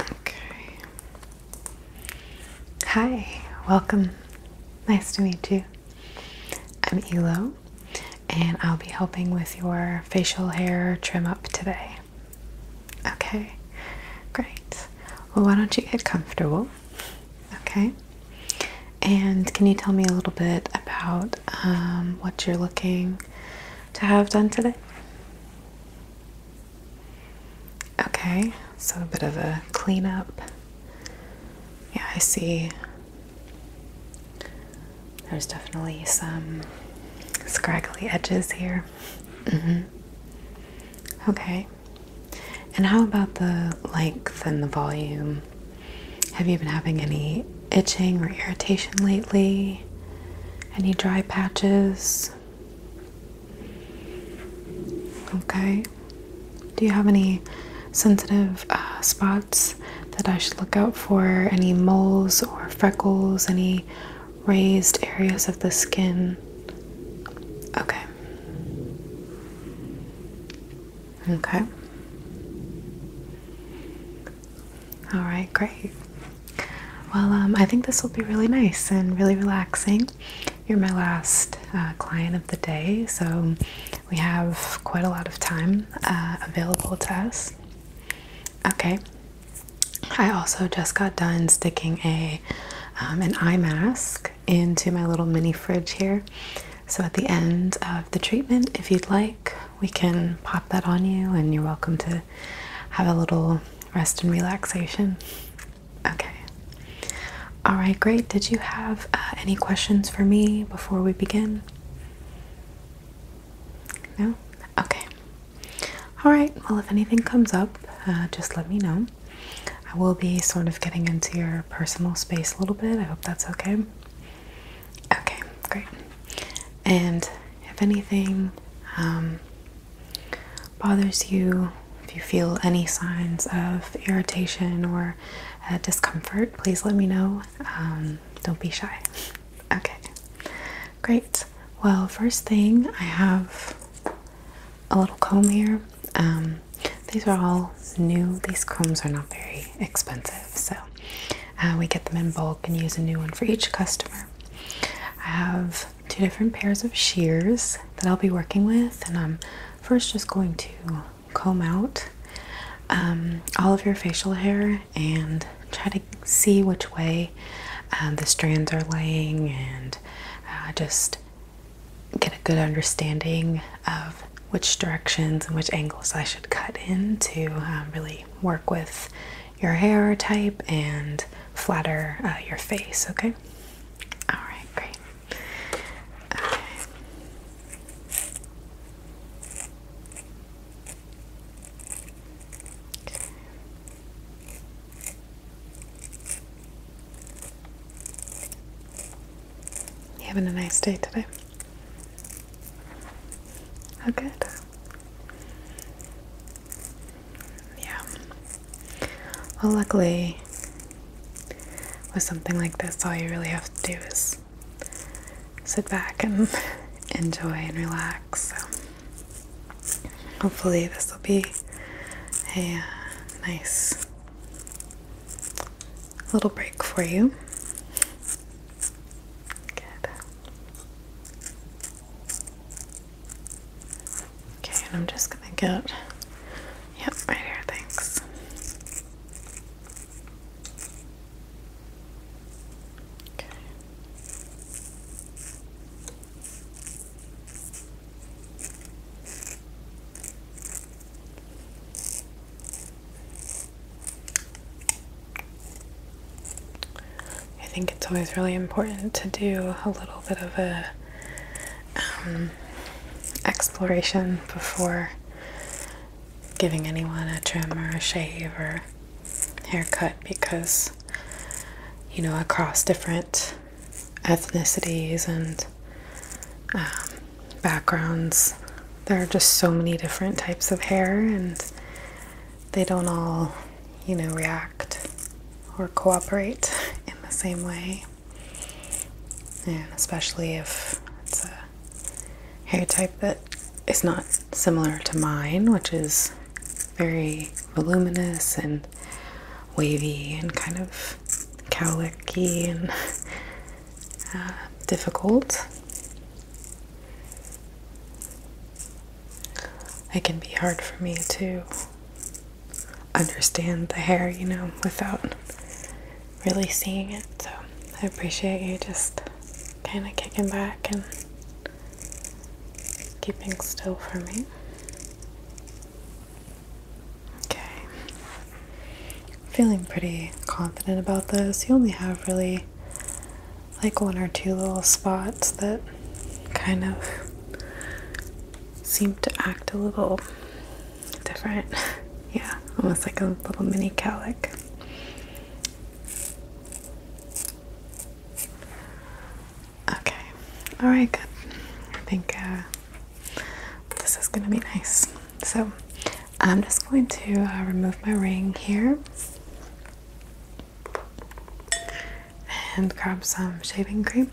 Okay. Hi, welcome. Nice to meet you. I'm Elo, and I'll be helping with your facial hair trim up today. Okay, great. Well, why don't you get comfortable? Okay. And can you tell me a little bit about um, what you're looking to have done today? Okay, so a bit of a cleanup. Yeah, I see there's definitely some scraggly edges here. Mm-hmm. Okay. And how about the length and the volume? Have you been having any itching or irritation lately? Any dry patches? Okay. Do you have any sensitive uh, spots that I should look out for? Any moles or freckles? Any raised areas of the skin? Okay. Okay. All right, great. Well, um, I think this will be really nice and really relaxing. You're my last uh, client of the day, so we have quite a lot of time uh, available to us. Okay. I also just got done sticking a um, an eye mask into my little mini fridge here. So at the end of the treatment, if you'd like, we can pop that on you, and you're welcome to have a little rest and relaxation. Okay. All right, great. Did you have uh, any questions for me before we begin? No? Okay. All right. Well, if anything comes up, uh, just let me know. I will be sort of getting into your personal space a little bit. I hope that's okay. Okay, great. And if anything um, bothers you, if you feel any signs of irritation or uh, discomfort, please let me know. Um, don't be shy. Okay, great. Well, first thing, I have a little comb here. Um, these are all new. These combs are not very expensive, so uh, we get them in bulk and use a new one for each customer. I have two different pairs of shears that I'll be working with, and I'm first just going to comb out um, all of your facial hair and try to see which way uh, the strands are laying and uh, just get a good understanding of which directions and which angles I should cut into um, really work with your hair type and flatter uh, your face, okay? All right, great. Okay. You having a nice day today? Oh, good. Yeah. Well, luckily, with something like this, all you really have to do is sit back and enjoy and relax. So, hopefully, this will be a uh, nice little break for you. Good. Okay, and I'm just gonna get, yep, right here, thanks. Okay. I think it's always really important to do a little bit of a um, exploration before giving anyone a trim or a shave or haircut because you know across different ethnicities and um, backgrounds there are just so many different types of hair and they don't all, you know, react or cooperate in the same way. And especially if it's a hair type that is not similar to mine, which is very voluminous and wavy and kind of cowlicky and uh, difficult. It can be hard for me to understand the hair, you know, without really seeing it. So I appreciate you just kind of kicking back and keeping still for me. Okay. Feeling pretty confident about this. You only have really like one or two little spots that kind of seem to act a little different. yeah, almost like a little mini calic. Okay, alright, good. I think uh, this is gonna be nice. So, I'm just going to uh, remove my ring here and grab some shaving cream.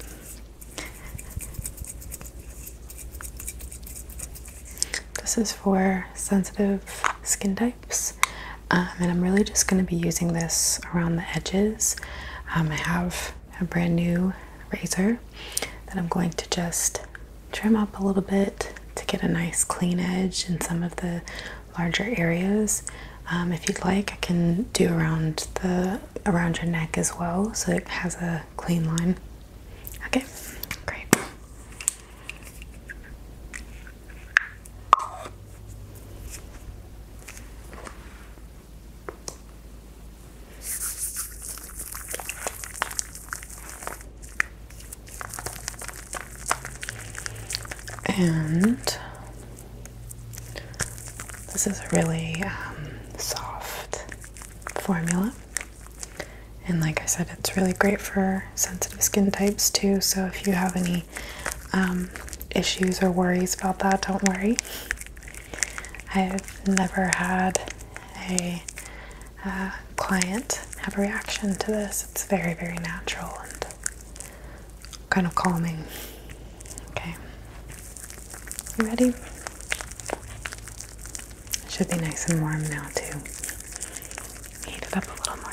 This is for sensitive skin types, um, and I'm really just going to be using this around the edges. Um, I have a brand new razor that I'm going to just trim up a little bit to get a nice clean edge in some of the larger areas. Um, if you'd like, I can do around the around your neck as well, so it has a clean line. Okay, great. And this is a really um, soft formula. And like I said, it's really great for sensitive skin types too. So if you have any um, issues or worries about that, don't worry. I've never had a uh, client have a reaction to this. It's very, very natural and kind of calming. Okay. You ready? should be nice and warm now, too. Heat it up a little more.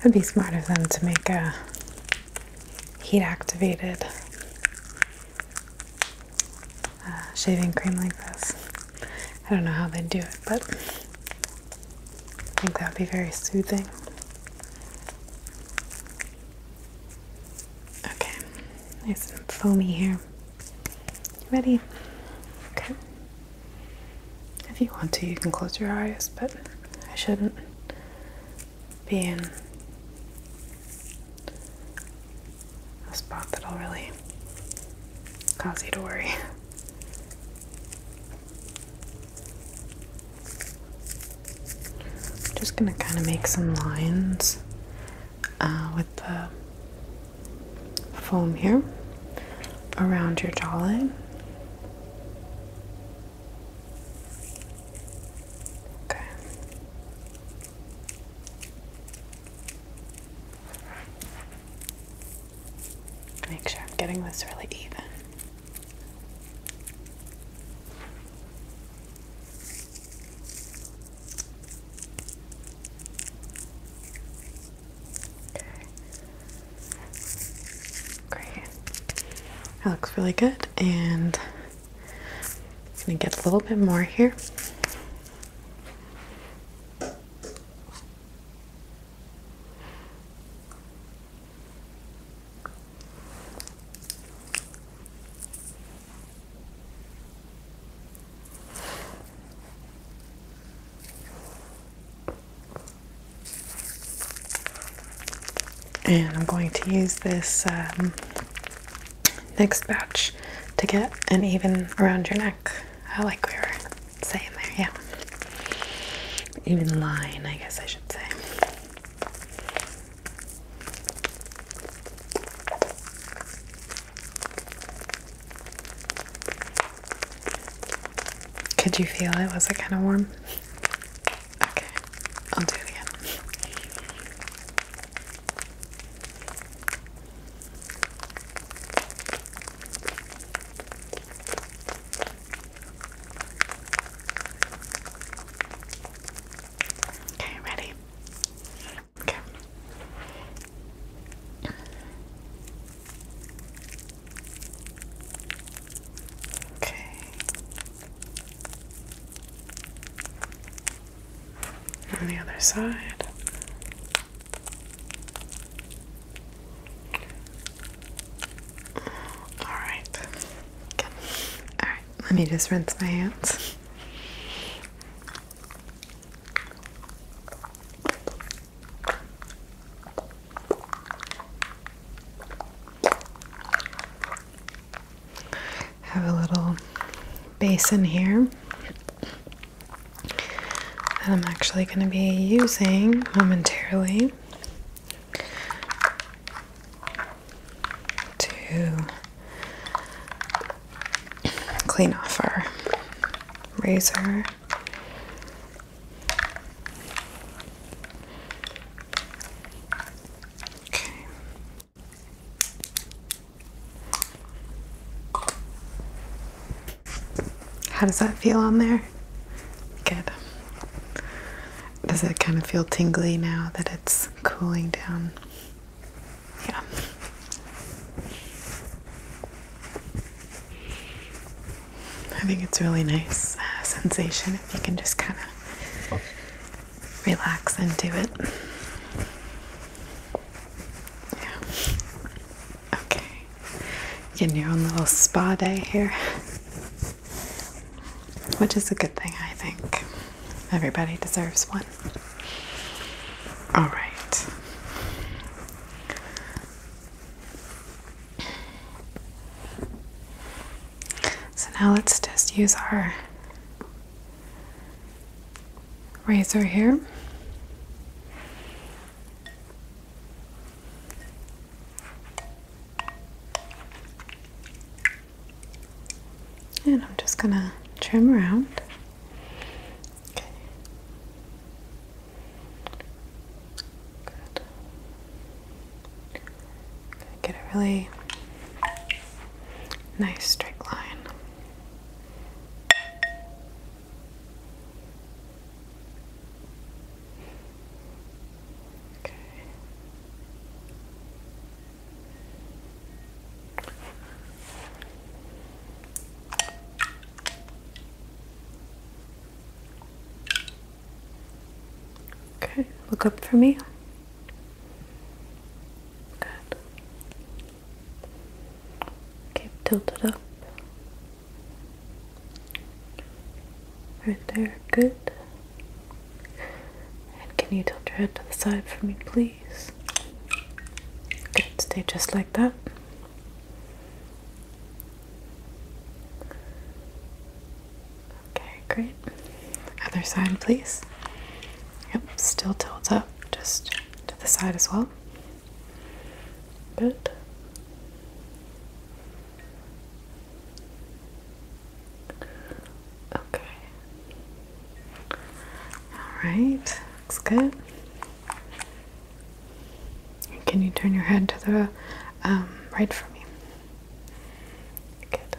It'd be smart of them to make a heat activated uh, shaving cream like this. I don't know how they would do it, but I think that would be very soothing. Okay, nice and foamy here. You ready? Okay. If you want to, you can close your eyes, but I shouldn't be in a spot that'll really cause you to worry. I'm just gonna kind of make some lines uh, with the foam here around your jawline. Okay. Make sure I'm getting this really even. Okay. Great. That looks really good. And I'm going to get a little bit more here. And I'm going to use this um, next batch to get an even around your neck, uh, like we were saying there, yeah. Even line, I guess I should say. Could you feel it? Was it kind of warm? Okay, I'll do it again. Okay, ready? Okay. Okay. On the other side. All right. All right. Let me just rinse my hands. Have a little basin here that I'm actually going to be using momentarily to clean off our razor how does that feel on there? Good. Does it kind of feel tingly now that it's cooling down? Yeah. I think it's a really nice uh, sensation if you can just kind of relax into it. Yeah. Okay. Getting your own little spa day here. Which is a good thing, I think. Everybody deserves one. Alright. So now let's just use our razor here. And I'm just going to trim around. Get a really nice straight line. Okay. Okay, look up for me. Good. Keep tilted up. Right there, good. And can you tilt your head to the side for me, please? Good, stay just like that. Okay, great. Other side, please. Yep, still tilts up, just to the side as well. Good. Okay. All right, looks good. Can you turn your head to the um, right for me? Good.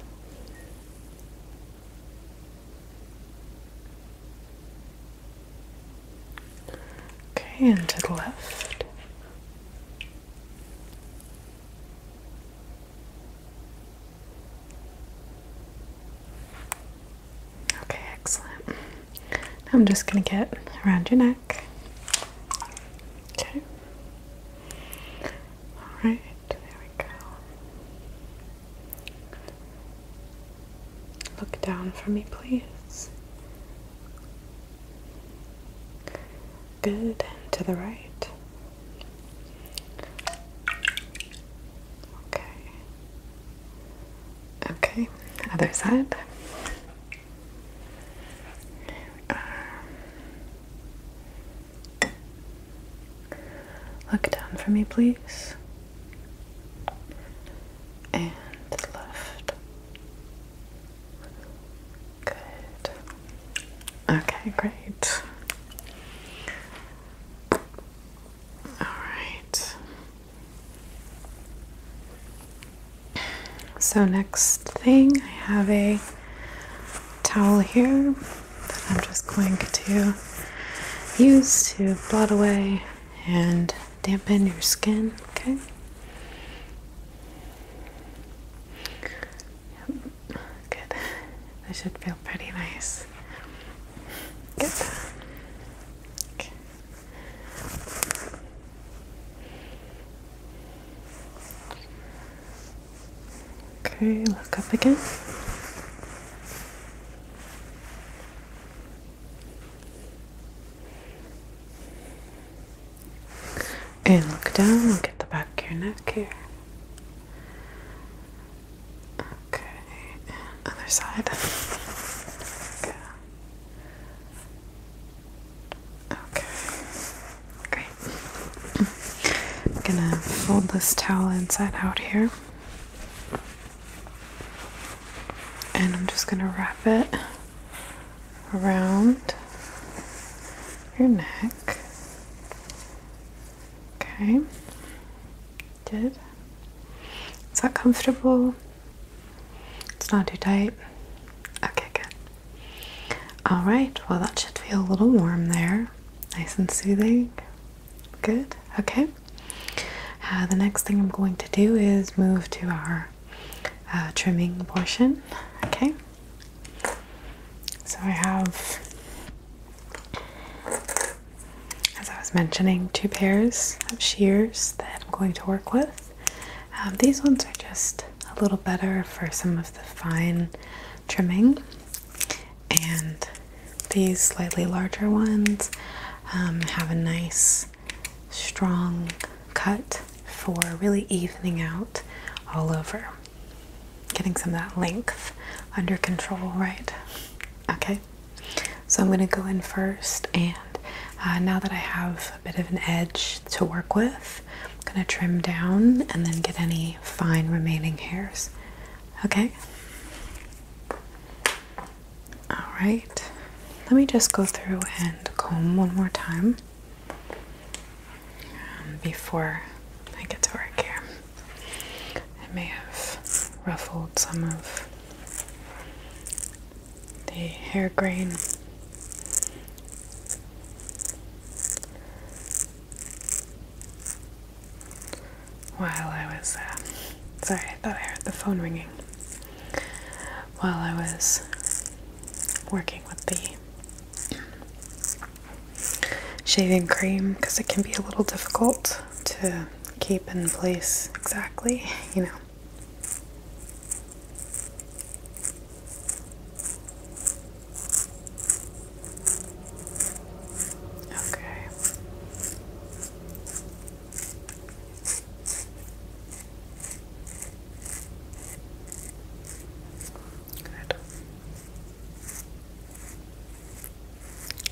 Okay, and to the left. Okay, excellent. I'm just going to get around your neck. Okay. All right, there we go. Look down for me, please. Good, to the right. Okay. Okay, other side look down for me, please. And left. Good. Okay, great. All right. So, next thing, I have a towel here that I'm just going to use to blot away and dampen your skin, okay? Good. That should feel pretty nice. Good. Okay. Okay, look up again. And look down, look get the back of your neck here. Okay, and other side. Okay. Okay, great. I'm gonna fold this towel inside out here. And I'm just gonna wrap it around your neck. Okay, did. Is that comfortable? It's not too tight. Okay, good. All right, well, that should feel a little warm there. Nice and soothing. Good, okay. Uh, the next thing I'm going to do is move to our uh, trimming portion. Okay. So I have, as I was mentioning, two pairs of shears that I'm going to work with. Um, these ones are just a little better for some of the fine trimming, and these slightly larger ones um, have a nice strong cut for really evening out all over, getting some of that length under control, right? Okay, so I'm going to go in first and uh, now that I have a bit of an edge to work with, I'm going to trim down and then get any fine remaining hairs. Okay? Alright, let me just go through and comb one more time um, before I get to work here. I may have ruffled some of the hair grain. While I was, uh, sorry, I thought I heard the phone ringing. While I was working with the shaving cream, because it can be a little difficult to keep in place exactly, you know. Okay. Good.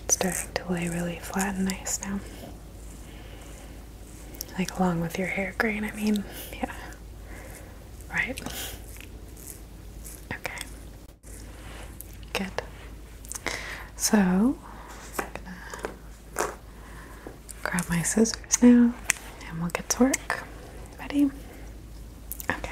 It's starting to lay really flat and nice now. Like along with your hair grain. I mean, yeah. Right. Okay. Good. So, I'm gonna grab my scissors now and we'll get to work. Ready? Okay.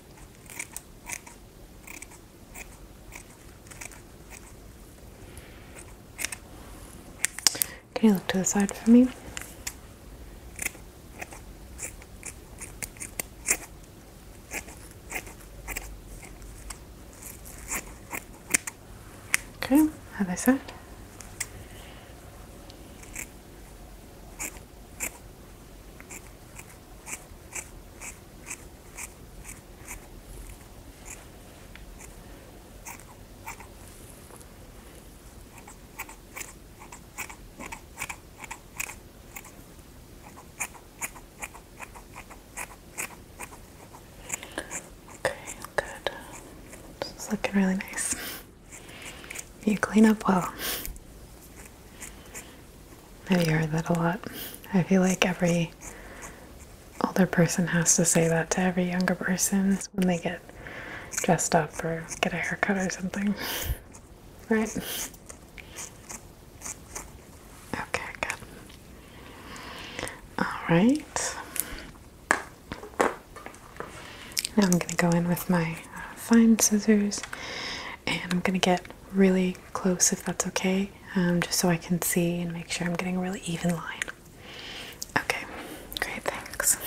Can you look to the side for me? Okay, Have they side. Okay, good. This looking really nice. You clean up well. Have you heard that a lot? I feel like every older person has to say that to every younger person when they get dressed up or get a haircut or something. Right? Okay, good. Alright. Now I'm going to go in with my uh, fine scissors and I'm going to get really close if that's okay, um, just so I can see and make sure I'm getting a really even line. Okay, great, thanks.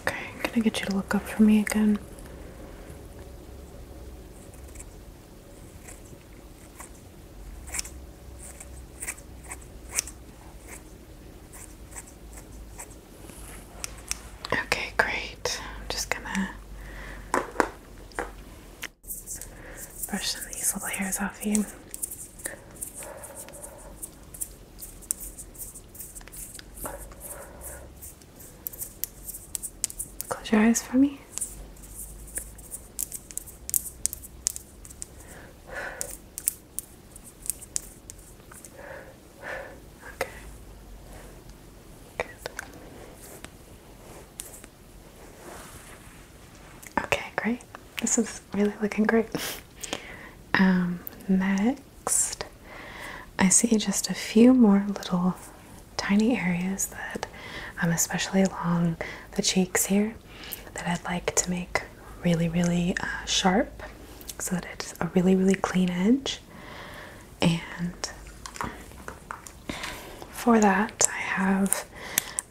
Okay, Can i get you to look up for me again. Okay, great. I'm just gonna brush some of these little hairs off you. Close your eyes for me. Okay. Good. Okay, great. This is really looking great. Um, next, I see just a few more little tiny areas that, um, especially along the cheeks here, that I'd like to make really, really uh, sharp so that it's a really, really clean edge. And for that, I have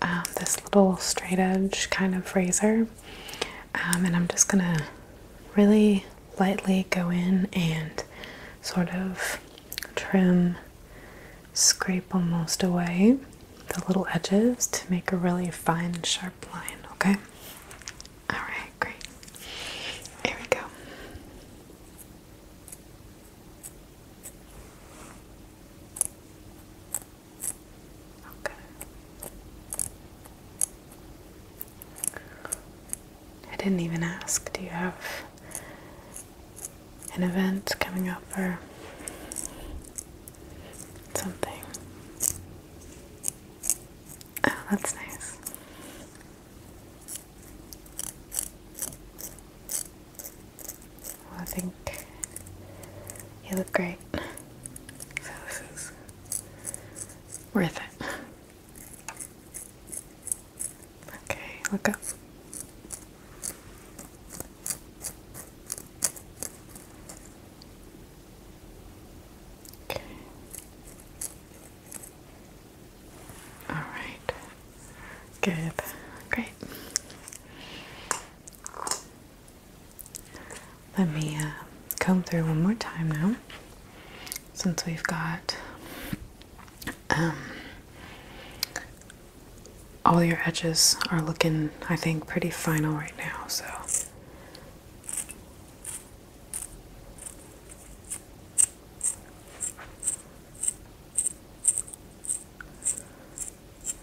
um, this little straight edge kind of razor, um, and I'm just gonna really lightly go in and sort of trim, scrape almost away the little edges to make a really fine, sharp line, okay? Alright, great. Here we go. Okay. I didn't even ask, do you have an event coming up or something? Oh, that's nice. Well, I think you look great. worth it. Okay, look Okay. All right. Good. Great. Let me uh, comb through one more time now, since we've got um, all your edges are looking, I think, pretty final right now, so.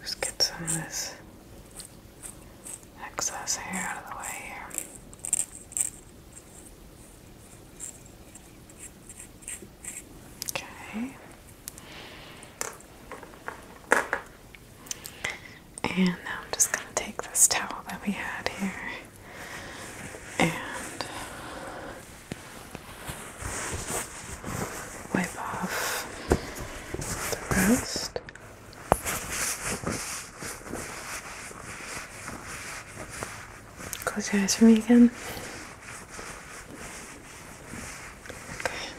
Just get some of this excess hair out of the way here. Okay. And now I'm just going to take this towel that we had here and wipe off the roast. Close your eyes for me again. Okay.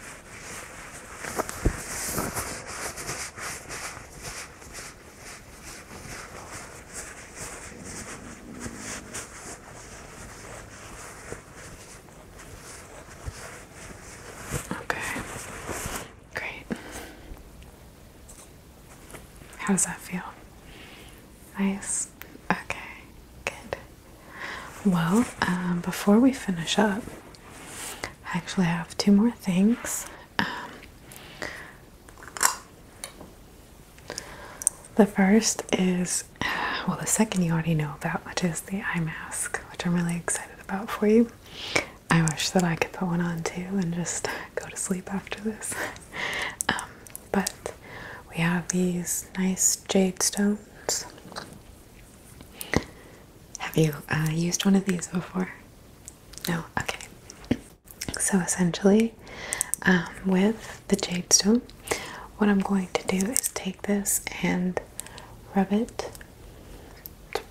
Okay. Great. How does that feel? Nice. Okay, good. Well, um, before we finish up, I actually have two more things. Um, the first is, well, the second you already know about, which is the eye mask, which I'm really excited about for you. I wish that I could put one on too and just go to sleep after this. Um, but we have these nice jade stones. Have you uh, used one of these before? No? Okay. So essentially, um, with the jade stone, what I'm going to do is take this and rub it.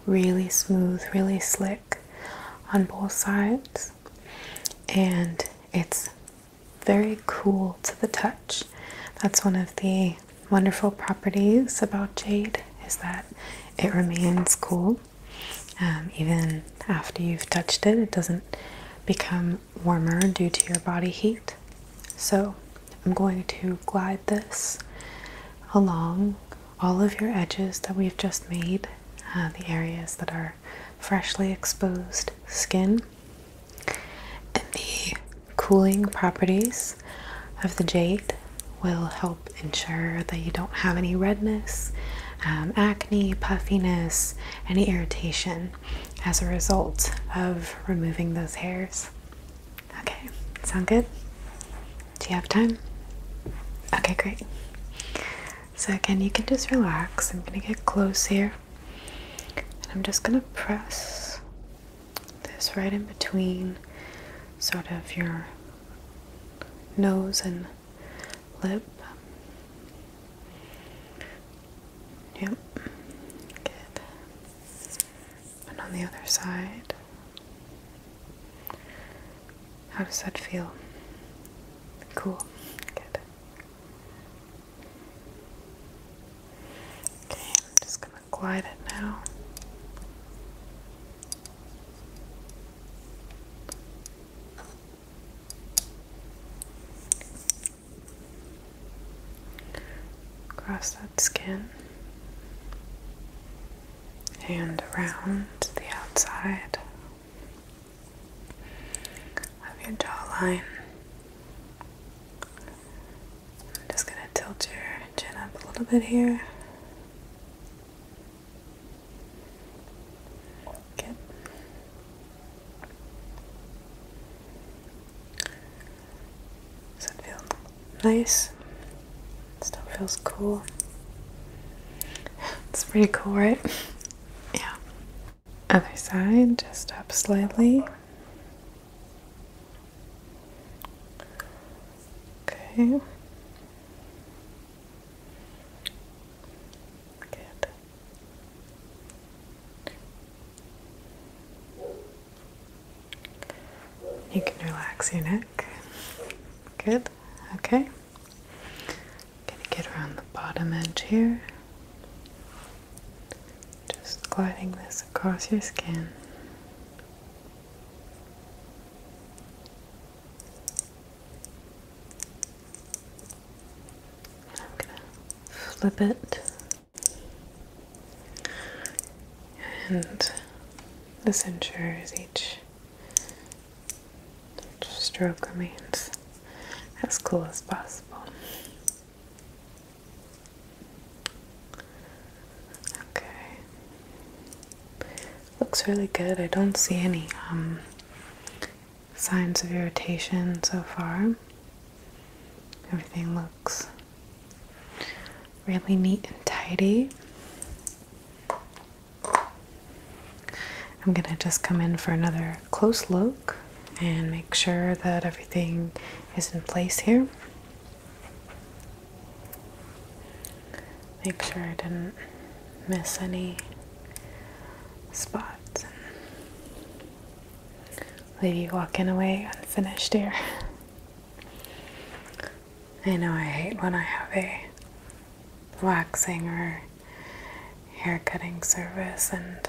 really smooth, really slick on both sides. And it's very cool to the touch. That's one of the wonderful properties about jade is that it remains cool um, even after you've touched it. It doesn't become warmer due to your body heat. So I'm going to glide this along all of your edges that we've just made, uh, the areas that are freshly exposed skin. And the cooling properties of the jade will help ensure that you don't have any redness, um, acne, puffiness, any irritation as a result of removing those hairs. Okay, sound good? Do you have time? Okay, great. So again, you can just relax. I'm going to get close here. And I'm just going to press this right in between sort of your nose and lip. Yep. Good. And on the other side. How does that feel? Cool. Good. Okay, I'm just going to glide it now. Across that skin and around the outside of your jawline. I'm just going to tilt your chin up a little bit here. Does it feel nice? It still feels cool. It's pretty cool, right? Yeah. Other side, just up slightly. Okay. Good. You can relax your neck. Good. Okay. Gonna get around the bottom edge here. Just gliding this across your skin. I'm gonna flip it. And this ensures each Stroke remains as cool as possible. Okay. Looks really good. I don't see any um, signs of irritation so far. Everything looks really neat and tidy. I'm going to just come in for another close look and make sure that everything is in place here. Make sure I didn't miss any spots. Leave you walking away unfinished here. I know I hate when I have a waxing or hair cutting service and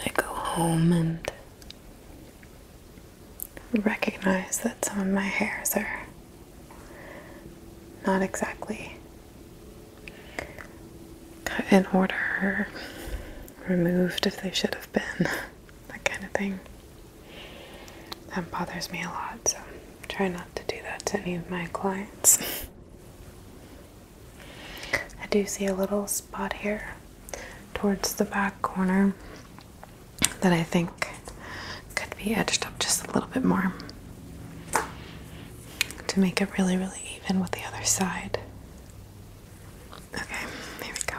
I go home and recognize that some of my hairs are not exactly cut in order or removed if they should have been, that kind of thing. That bothers me a lot, so try not to do that to any of my clients. I do see a little spot here towards the back corner that I think could be edged up just a little bit more to make it really, really even with the other side. Okay, here we go.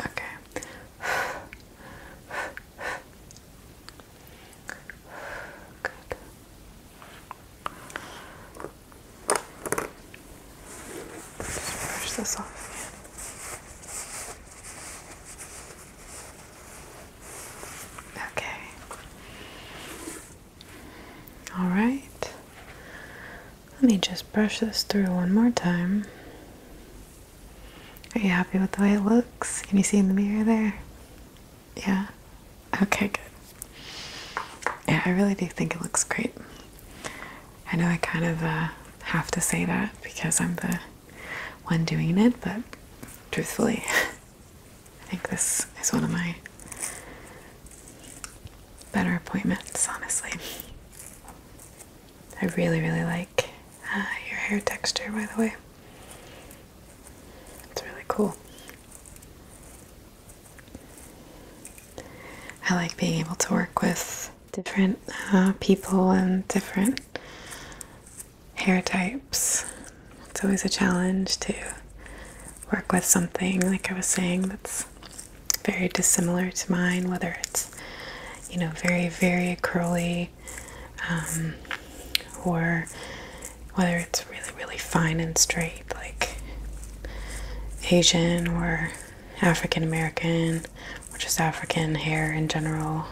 Okay. Good. Just brush this off again. Okay. All right. Let me just brush this through one more time. Are you happy with the way it looks? Can you see in the mirror there? Yeah? Okay, good. Yeah, I really do think it looks great. I know I kind of uh, have to say that because I'm the one doing it, but truthfully, I think this is one of my better appointments, honestly. I really, really like uh, your hair texture, by the way. It's really cool. I like being able to work with different uh, people and different hair types. It's always a challenge to work with something, like I was saying, that's very dissimilar to mine, whether it's, you know, very, very curly um, or whether it's really, really fine and straight, like Asian or African American or just African hair in general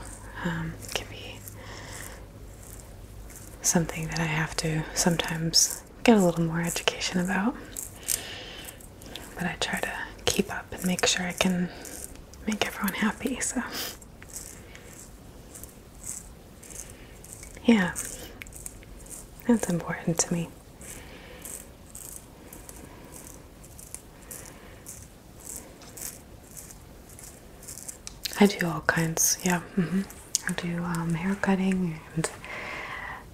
um, can be something that I have to sometimes get a little more education about. But I try to keep up and make sure I can make everyone happy, so. Yeah, that's important to me. I do all kinds, yeah. Mm-hmm. I do um, hair cutting and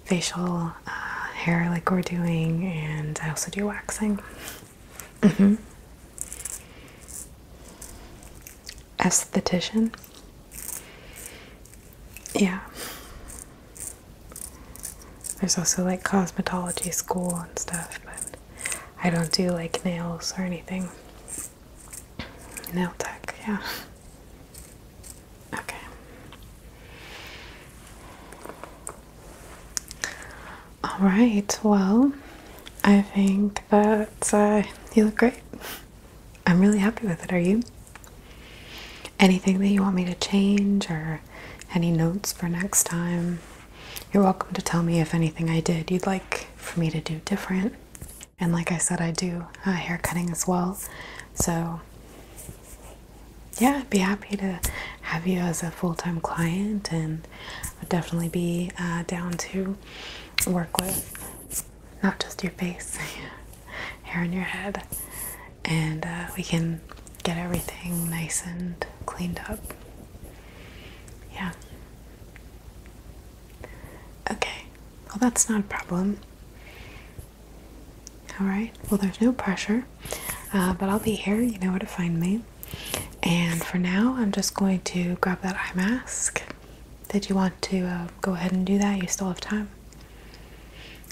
facial uh, hair, like we're doing, and I also do waxing. Mm mm-hmm. Aesthetician, yeah. There's also like cosmetology school and stuff, but I don't do like nails or anything. Nail tech, yeah. Okay. All right. Well, I think that uh, you look great. I'm really happy with it. Are you? Anything that you want me to change or any notes for next time? You're welcome to tell me if anything I did you'd like for me to do different. And like I said, I do hair cutting as well. So, yeah, I'd be happy to have you as a full time client, and would definitely be uh, down to work with not just your face, hair on your head, and uh, we can get everything nice and cleaned up. Yeah. Okay, well, that's not a problem. All right, well, there's no pressure, uh, but I'll be here. You know where to find me. And for now, I'm just going to grab that eye mask. Did you want to uh, go ahead and do that? You still have time.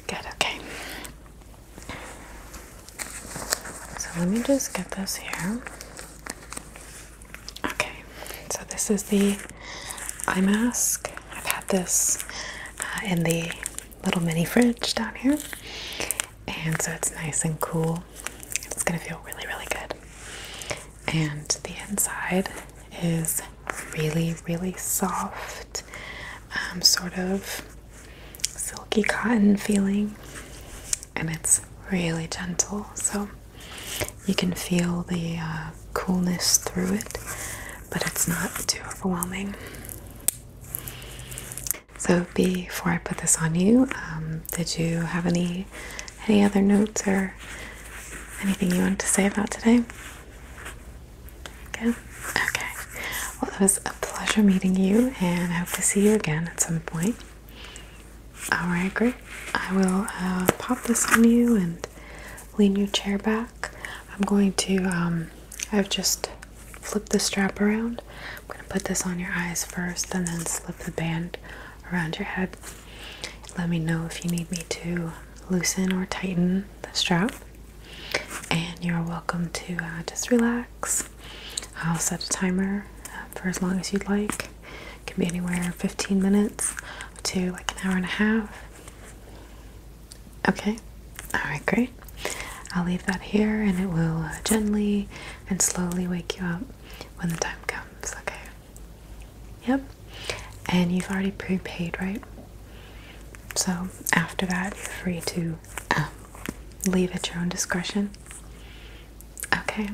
Good, okay. So let me just get this here. Okay, so this is the eye mask. I've had this uh, in the little mini fridge down here, and so it's nice and cool. It's gonna feel really, really good. And the inside is really, really soft, um, sort of silky cotton feeling and it's really gentle, so you can feel the uh, coolness through it, but it's not too overwhelming. So before I put this on you, um, did you have any any other notes or anything you wanted to say about today? Good. Okay. Well, it was a pleasure meeting you, and I hope to see you again at some point. Oh, Alright, great. I will uh, pop this on you and lean your chair back. I'm going to, um, I've just flipped the strap around. I'm going to put this on your eyes first and then slip the band around your head. Let me know if you need me to loosen or tighten the strap. And you're welcome to uh, just relax. I'll set a timer uh, for as long as you'd like. It can be anywhere 15 minutes to like an hour and a half. Okay, all right, great. I'll leave that here and it will uh, gently and slowly wake you up when the time comes, okay? Yep, and you've already prepaid, right? So after that, you're free to um, leave at your own discretion. Okay,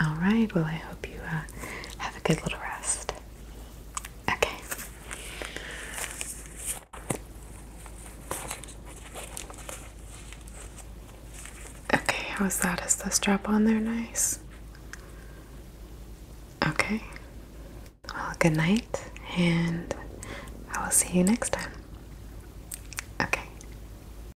all right. Well, I hope you uh, have a good little rest. Okay. Okay, how's that? Is the strap on there nice? Okay. Well, good night, and I will see you next time. Okay.